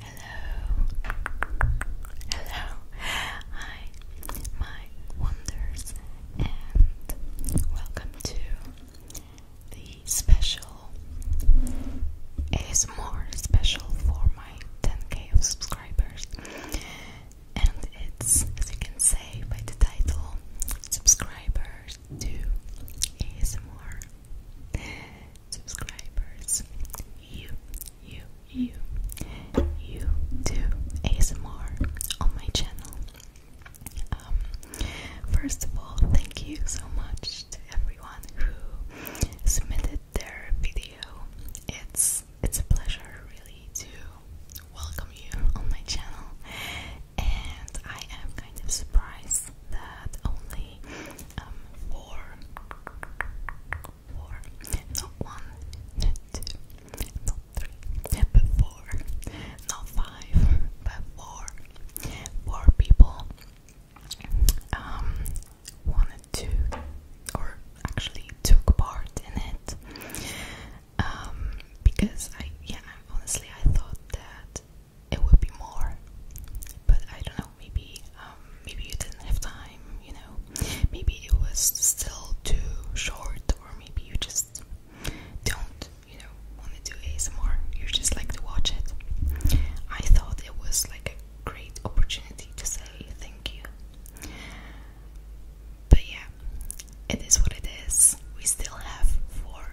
Hello, hello, hi, my wonders, and welcome to the special. It is more special for my 10k subscribers, and it's as you can say by the title, subscribers to ASMR subscribers. You, you, you, you do ASMR on my channel. Um, first of all, thank you so much to everyone who submitted their video. It's it's a pleasure really to welcome you on my channel, and I am kind of surprised that only four, um, four, not one, two, not three, but four, not five, but four, four people um, wanted to, or actually took part in it. Um, because I, yeah, honestly, I thought that it would be more. But I don't know, maybe um, maybe you didn't have time, you know. Maybe it was still too short or maybe you just don't, you know, want to do ASMR. You just like to watch it. I thought it was like a great opportunity to say thank you. But yeah, it is what it is. We still have four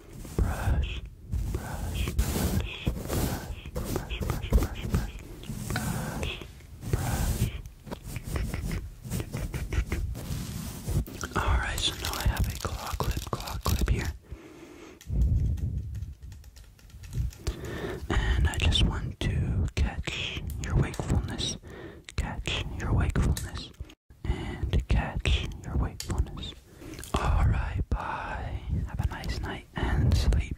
brush, brush, brush, brush, brush, brush, brush, brush, brush, brush. Alright, so now I have a claw clip, claw clip here. And I just want to catch your wakefulness, catch your wakefulness, and catch your wakefulness, Alright, bye. Have a nice night and sleep.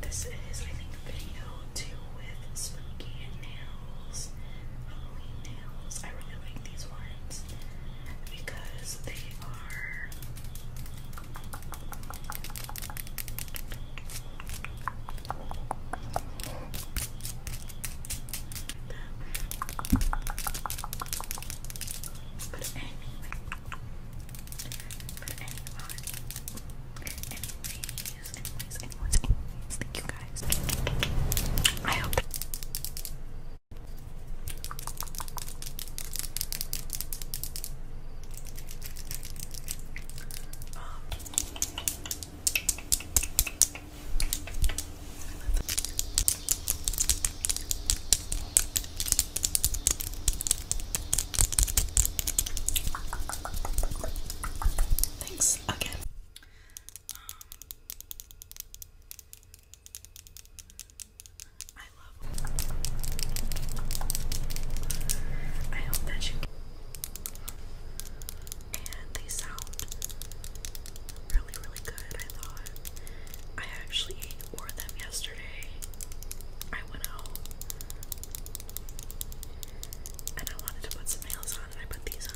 This is, I think, video two with spooky nails, Halloween nails. I really like these ones because they are. But anyway, but anyway, anyways, anyways, anyways, anyways, thank you guys. I hope. Um, Thanks again. Um, I love. I hope that you. And they sound really, really good, I thought. I actually wore them yesterday. I went out and I wanted to put some nails on, and I put these on.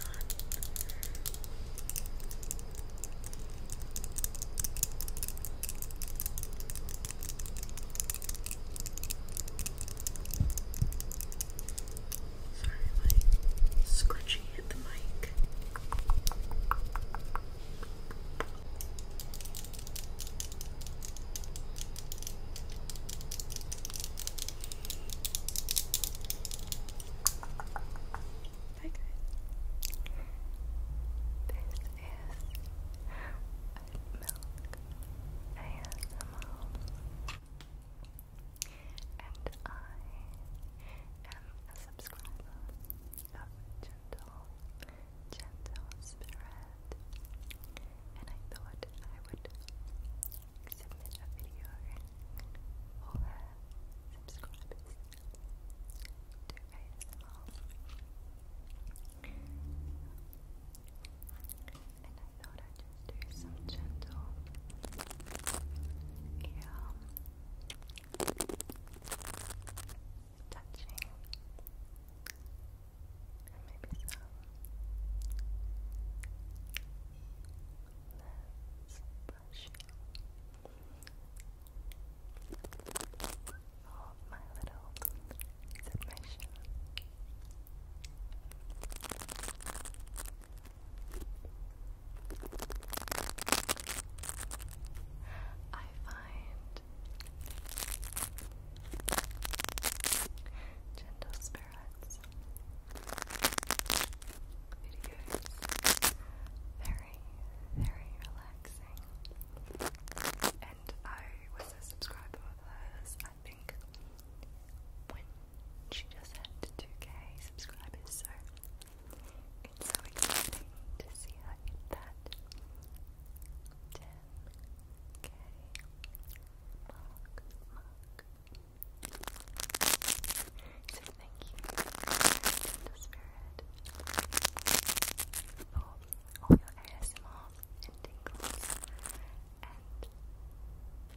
Sorry, my scrunchie hit the mic. Hi guys. This is milk ASMR and I am a subscriber of Gentle, Gentle Spirit, and I thought I would submit a video for subscribers to ASMR. And I thought I'd just do some gentle ear touching, and maybe some less brushing for my little submission. I find gentle spirits videos very, very relaxing. And I was a subscriber of hers, I think, when she just had 2k subscribers, so it's so exciting to see how you did that. 10k mark, thank you, Gentle Spirit, all your ASMR and tingles and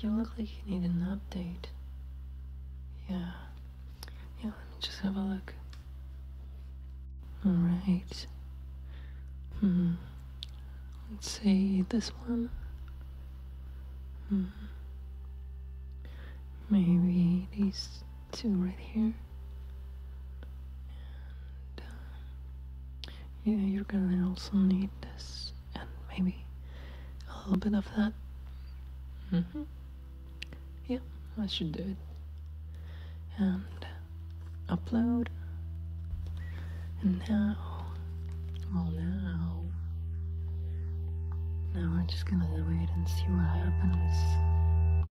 You look like you need an update. Yeah. Yeah, let me just have a look. Alright. Hmm. Let's see this one. Hmm. Maybe these two right here. Um, yeah, you're gonna also need this and maybe a little bit of that. Mm-hmm. Yeah, I should do it. And upload. And now, well now, now I'm just gonna wait and see what happens.